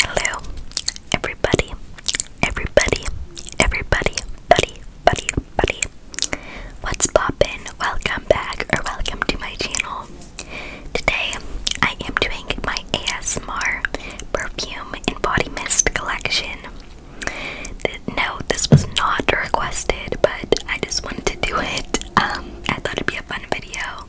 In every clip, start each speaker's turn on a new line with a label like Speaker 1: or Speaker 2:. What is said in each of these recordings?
Speaker 1: Hello, everybody, everybody, everybody, buddy, buddy, buddy. What's poppin'? Welcome back or welcome to my channel. Today, I am doing my ASMR perfume and body mist collection. No, this was not requested, but I just wanted to do it. Um, I thought it'd be a fun video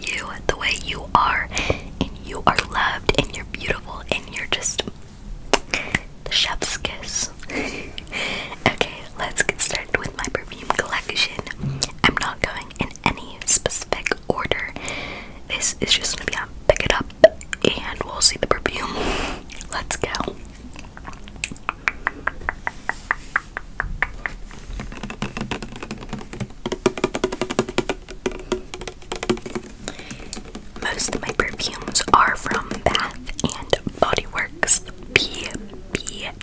Speaker 1: you the way you are, and you are loved, and you're beautiful, and you're just the chef's kiss. okay, let's get started with my perfume collection. I'm not going in any specific order. This is just gonna be on pick it up and we'll see the perfume. Let's go. Most of my perfumes are from Bath and Body Works. BBW.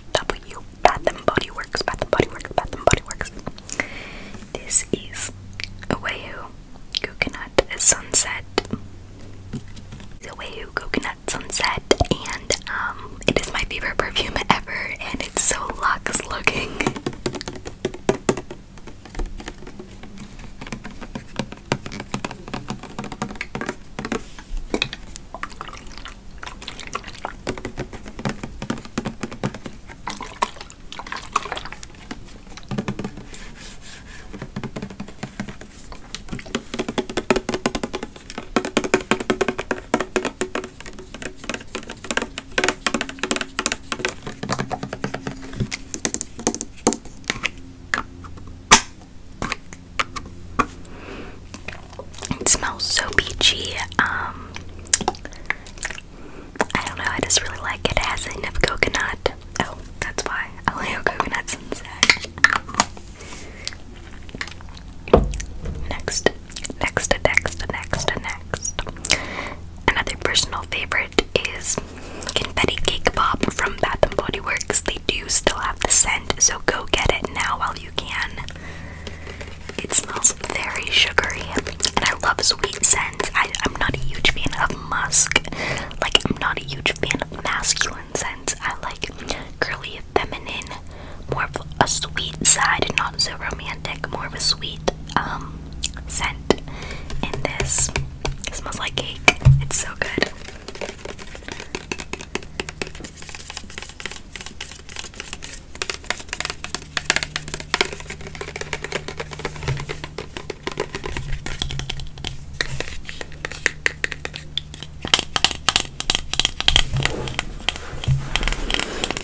Speaker 1: Bath and Body Works. Bath and Body Works. Bath and Body Works. This is Oahu Coconut Sunset. The Oahu Coconut Sunset and um it is my favorite perfume ever, and it's so luxe looking. It smells so peachy. Um, I don't know. I just really like it. It has a hint of coconut. Oh, that's why I like coconuts inside. Next, next, next, next, next. Another personal favorite is confetti cake pop from Bath and Body Works. They do still have the scent, so go get it now while you can. It smells very sugary, and I love sweet scents. I, I'm not a huge fan of musk. Like I'm not a huge fan of masculine scents. I like curly feminine, more of a sweet side, not so romantic, more of a sweet um, scent in this. smells like cake. It's so good.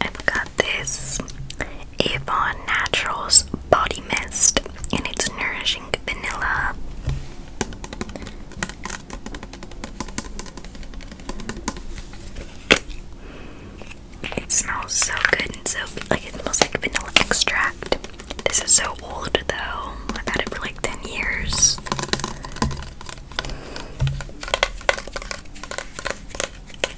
Speaker 1: I've got this Avon Naturals Body Mist, and it's nourishing vanilla. It smells so good and so like it smells like vanilla extract. This is so old though. I've had it for like 10 years.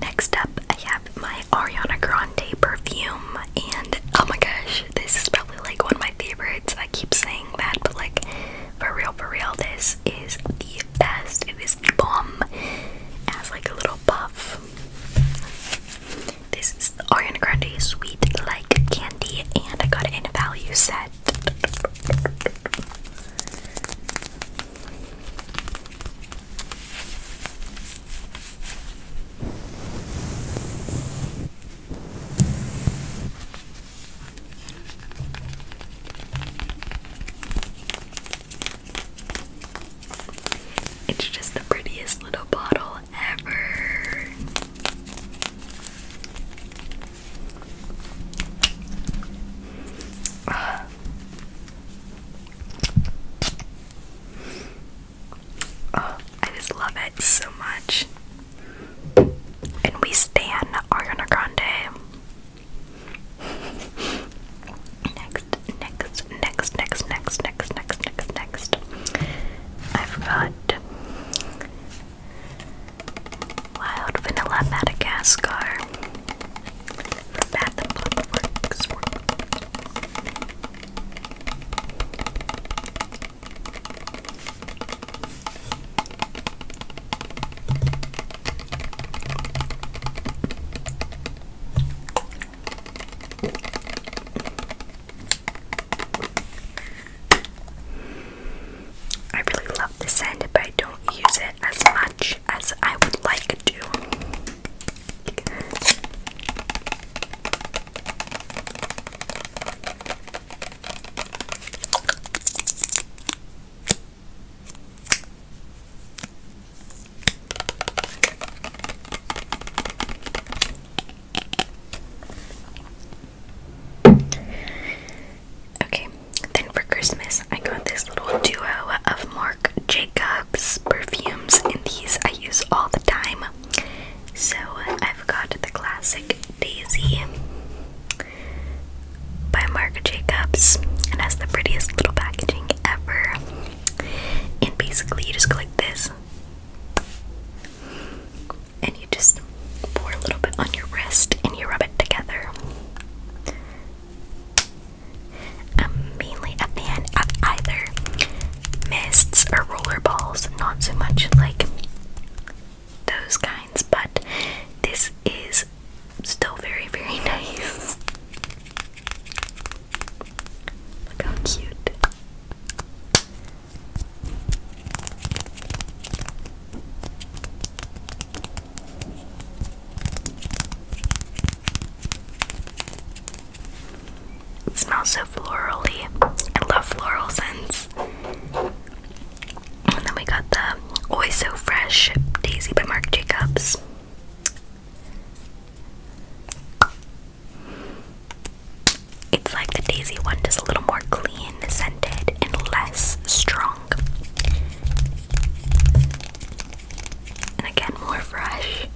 Speaker 1: Next up, I have my Ariana Grande perfume, and oh my gosh, this is probably like one of my favorites. I keep saying that, but like for real, for real, this is the best. It is the bomb. It has like a little puff. This is the Ariana Grande Sweet Like Candy, and I got it a value set. It's just the prettiest little bottle ever. Oh, I just love it so much. And we stand Ariana Grande. Next, next, next, next, next, next, next, next, next. I've Wild Vanilla Madagascar. I really love this scent, but I don't use it as much as I would like to. Okay, then for Christmas, I got this little duo of more Jacobs perfumes, and these I use all the time. So I've got the classic Daisy by Marc Jacobs, and has the prettiest little packaging ever. And basically, you just go like this, and you just pour a little bit on your wrist, and you rub it together. I'm mainly a fan of either mists or roller balls, not so much like those kinds, but this is still very, very nice. Look how cute smells so florally. I love floral scents. And then we got the Always So Fresh Daisy by Marc Jacobs. It's like the Daisy one, just a little more clean, scented, and less strong and again more fresh.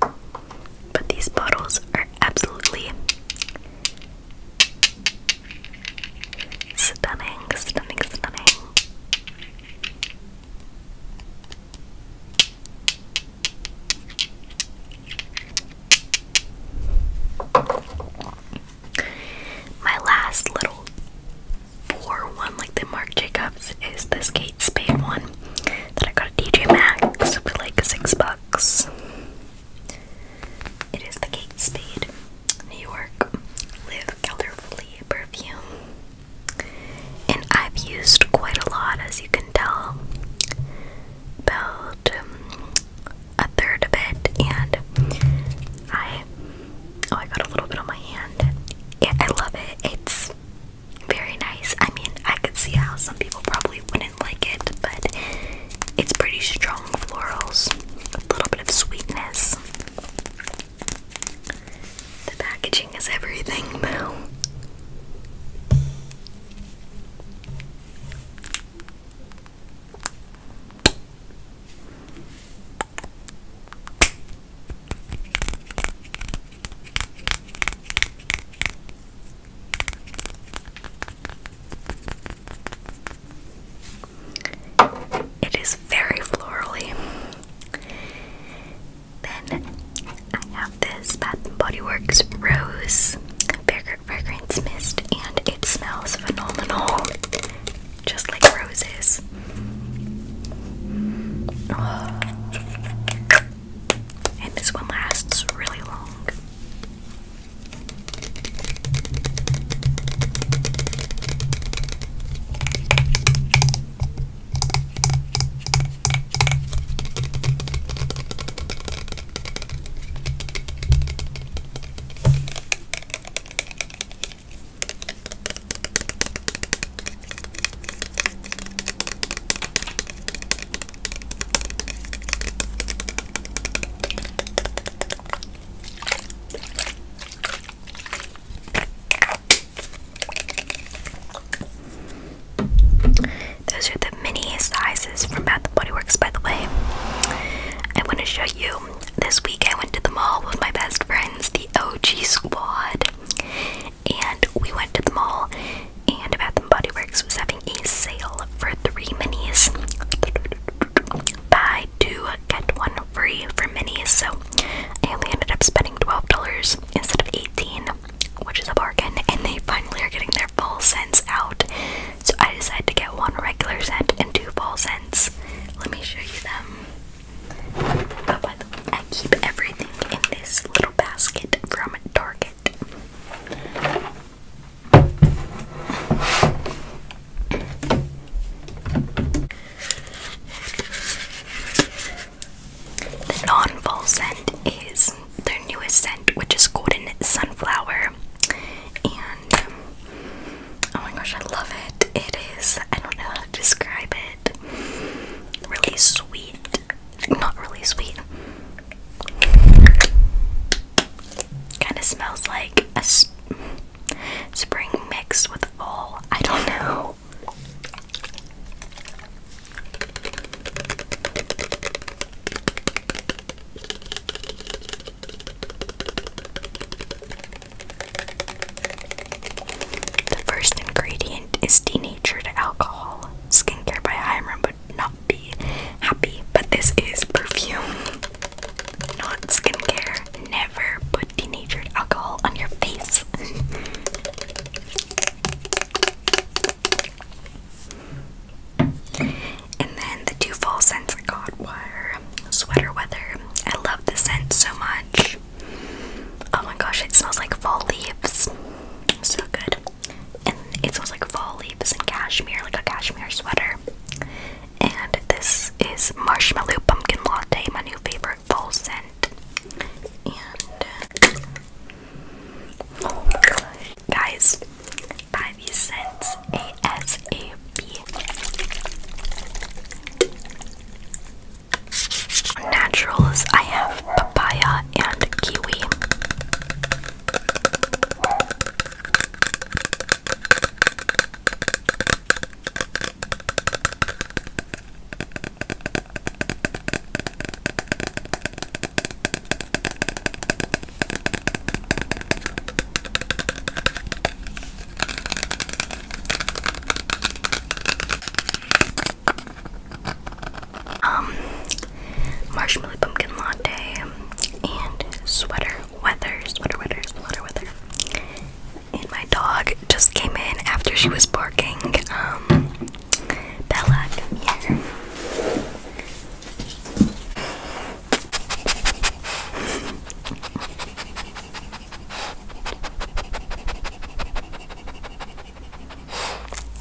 Speaker 1: But these bottles are absolutely stunning, stunning, stunning. My last little poor one, like the Marc Jacobs, is this Kate Spade one that I got at DJ Maxx for like six bucks. It is the Kate Spade New York Live Colorfully perfume. And I've used quite a lot, as you can tell. About um, a third of it, and I oh, I got a little bit on my hand. Yeah, I love it. It's very nice. I mean, I could see how some people probably wouldn't like it, but it's pretty strong florals, a little bit of sweetness. The packaging is everything, though. It is very florally. Then I have this Bath and Body Works Rose Fragrance Mist and it smells phenomenal, just like roses. And this one lasts really long. Those are the mini sizes from Bath and Body Works, by the way. I want to show you. This week I went to the mall with my best friends, the OG Squad, and we went to the mall. And Bath and Body Works was having a sale for three minis. Buy two, get one free for minis. So I only ended up spending $12 instead of 18 which is a bargain. And they finally are getting their full cents out. So I decided to get one regular scent and two fall scents. Let me show you them. Oh, I keep everything in this little basket from Target. The non-fall scent is their newest scent, which is Golden Sunflower. And um, oh my gosh, I love it. It is, I don't know how to describe it. Really sweet. Not really sweet. Kind of smells like a spring mix with all. I don't know. The first ingredient is denatured alcohol. Skincare by Hiram would not be happy, but this is perfume, not skincare. Never put denatured alcohol on your face. And then the two fall scents I got were Sweater Weather. I love the scent so much. Oh my gosh, it smells like fall leaves. So good. And it smells like fall leaves and cashmere, like a cashmere sweater. And this is Marshmallow Pumpkin Latte, my new favorite fall scent. And oh my gosh, Guys, buy these cents ASAP. Naturals, I have papaya and kiwi. Um, marshmallow pumpkin latte and sweater weather, sweater weather, sweater weather. And my dog just came in after she was barking. Um, Bella,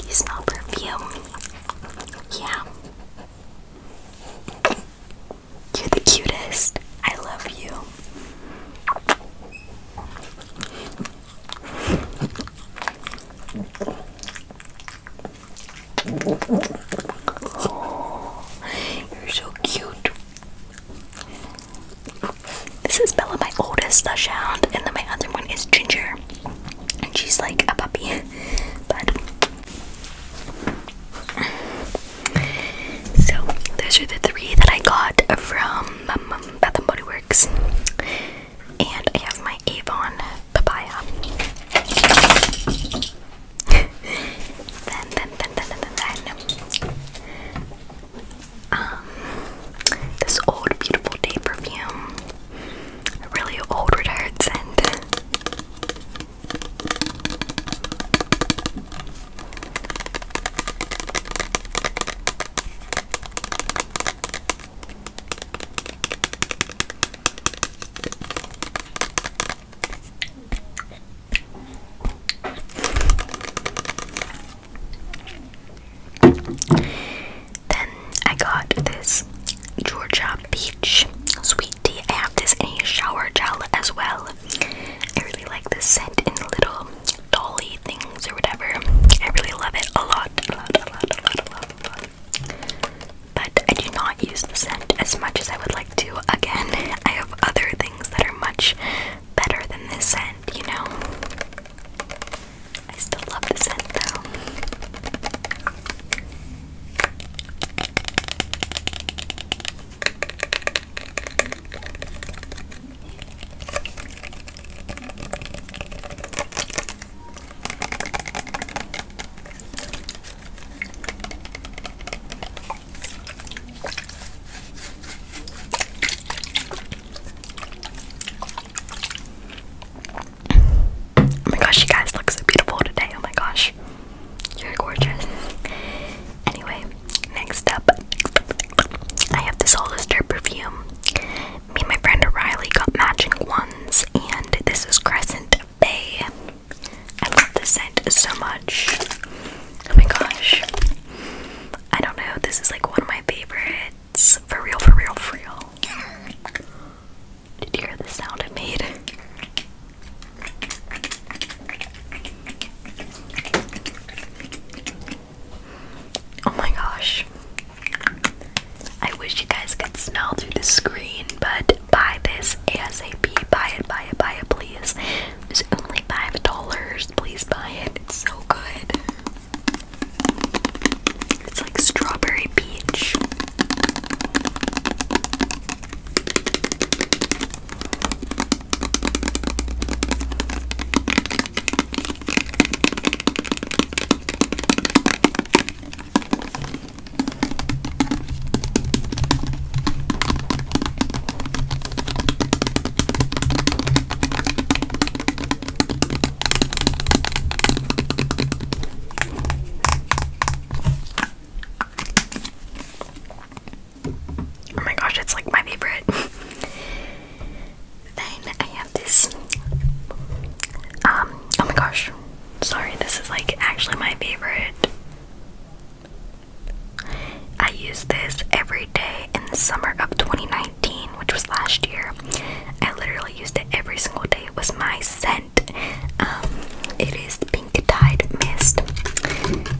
Speaker 1: you smell perfume? Yeah. You're the cutest. I love you. Oh, you're so cute. This is Bella, my oldest dachshund, and then my other one is Ginger, and she's like a puppy, but. So those are the three that I got from um, um Bath and Body Works, and I have my Avon papaya. then, then, then, then, then, then, um, this old beautiful day perfume, a really old retired scent. Then I got this Georgia Peach sweet tea. I have this in a shower gel as well. I really like the scent in little dolly things or whatever. I really love it a lot. But I do not use the scent as much as I would like to. Again, I have other things that are much better than this scent, you know? I still love the scent though. Oh my gosh, you guys look so beautiful today. Oh my gosh, you're gorgeous. Anyway, next up, I have this Hollister perfume. Me and my friend Riley got matching ones, and this is Crescent Bay. I love the scent so much. Oh my gosh. I don't know, this is like one of my favorites. For real, for real, for real. Did you hear the sound it made? Oh my gosh. I wish you guys could smell through the screen, but buy this ASAP. Buy it, buy it, buy it, please. It's only $5. Please buy it. It's so good. It's like strawberry peach. Oh my gosh, it's like my favorite. then I have this. Um, oh my gosh, Sorry, this is like actually my favorite. I used this every day in the summer of 2019, which was last year. I literally used it every single day. It was my scent. Um, it is Pink Tide Mist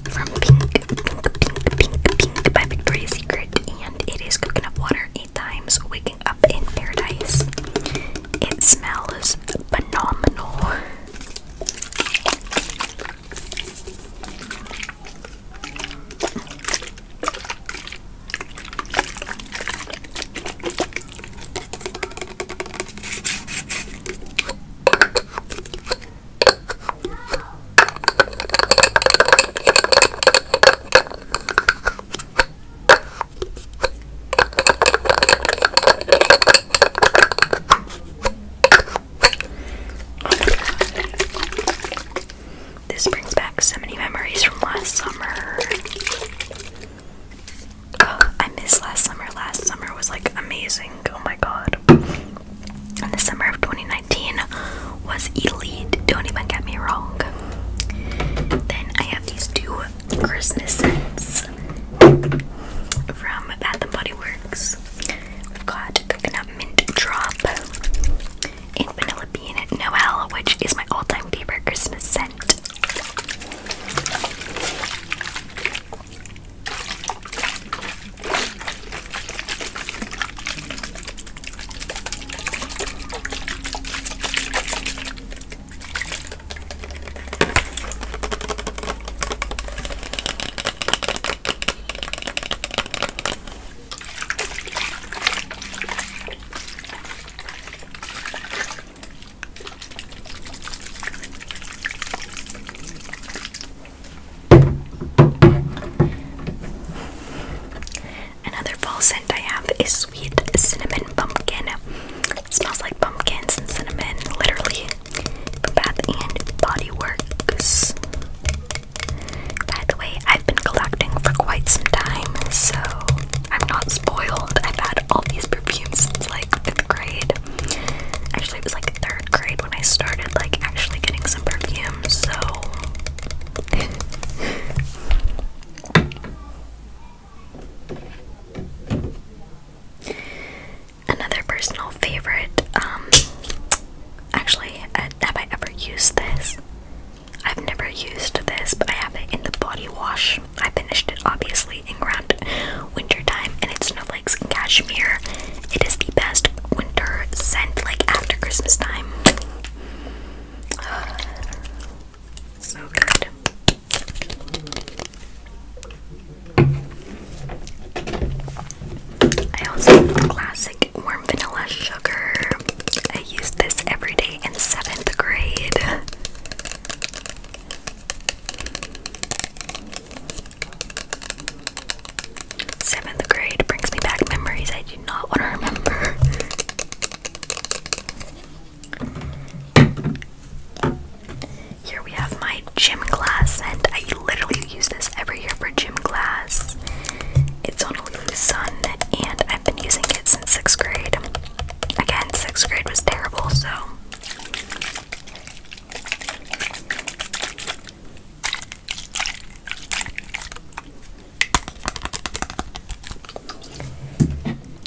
Speaker 1: from Pink, Pink, Pink, Pink, Pink by Victoria's Secret, and it is coconut water eight times wicking up in Paradise. It smells phenomenal. This brings back so many memories from last summer. Oh, I missed last summer. Last summer was like amazing. Oh my god. And the summer of 2019 was elite. Don't even get me wrong. Then I have these two Christmas scents from Bath and Body Works. We've got Coconut Mint Drop and Vanilla Bean Noel, which is my all-time favorite Christmas scent. Another fall scent I have is sweet cinnamon pumpkin smells like pumpkins and cinnamon, literally. Bath and Body Works. By the way, I've been collecting for quite some time, so I'm not spoiled. I've had all these perfumes since like fifth grade. Actually, it like third grade when I started like actually getting some perfumes. So. Another personal favorite, um, actually, I, uh, have I ever used this? I've never used this, but I have it in the body wash. I finished it obviously in ground winter time, and it's snowflakes and cashmere. It is the best winter scent, like after Christmas time. so good. I also have classic warm vanilla sugar. I used this every day in seventh grade. Seventh grade brings me back memories I do not want to remember. Here we have my gym glass and I literally use this every year for gym class. It's on Lulu's Sun and I've been using it since sixth grade. Again, sixth grade was terrible, so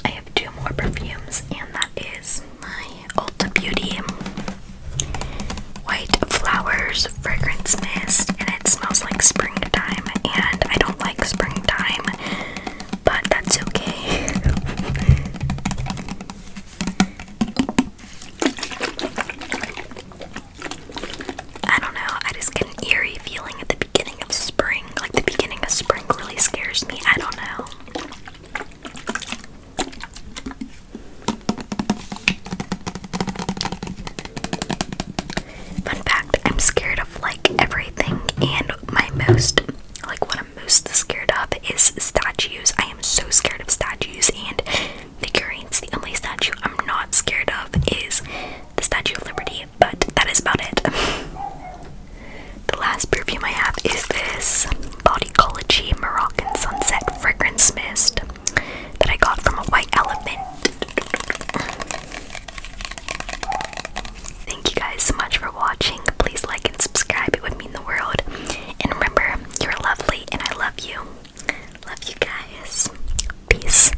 Speaker 1: I have two more perfumes, and that is my Ulta Beauty White Flowers Fragrance Mist, and it smells like springtime, and I don't like springtime, but that's okay. I don't know, I just get eerie feeling at the beginning of spring. Like the beginning of spring really scares me. I don't know. Fun fact, I'm scared of like everything and my most like what I'm most scared of is statues. I am so scared of statues and figurines. The only statue I'm not scared of is the Statue of Liberty but that is about it. the last perfume I have is this Body Bodycology Moroccan Sunset Fragrance Mist that I got from a white elephant. Thank you guys so much for watching. Please like and subscribe, it would mean the world. And remember, you're lovely and I love you. Love you guys. Peace.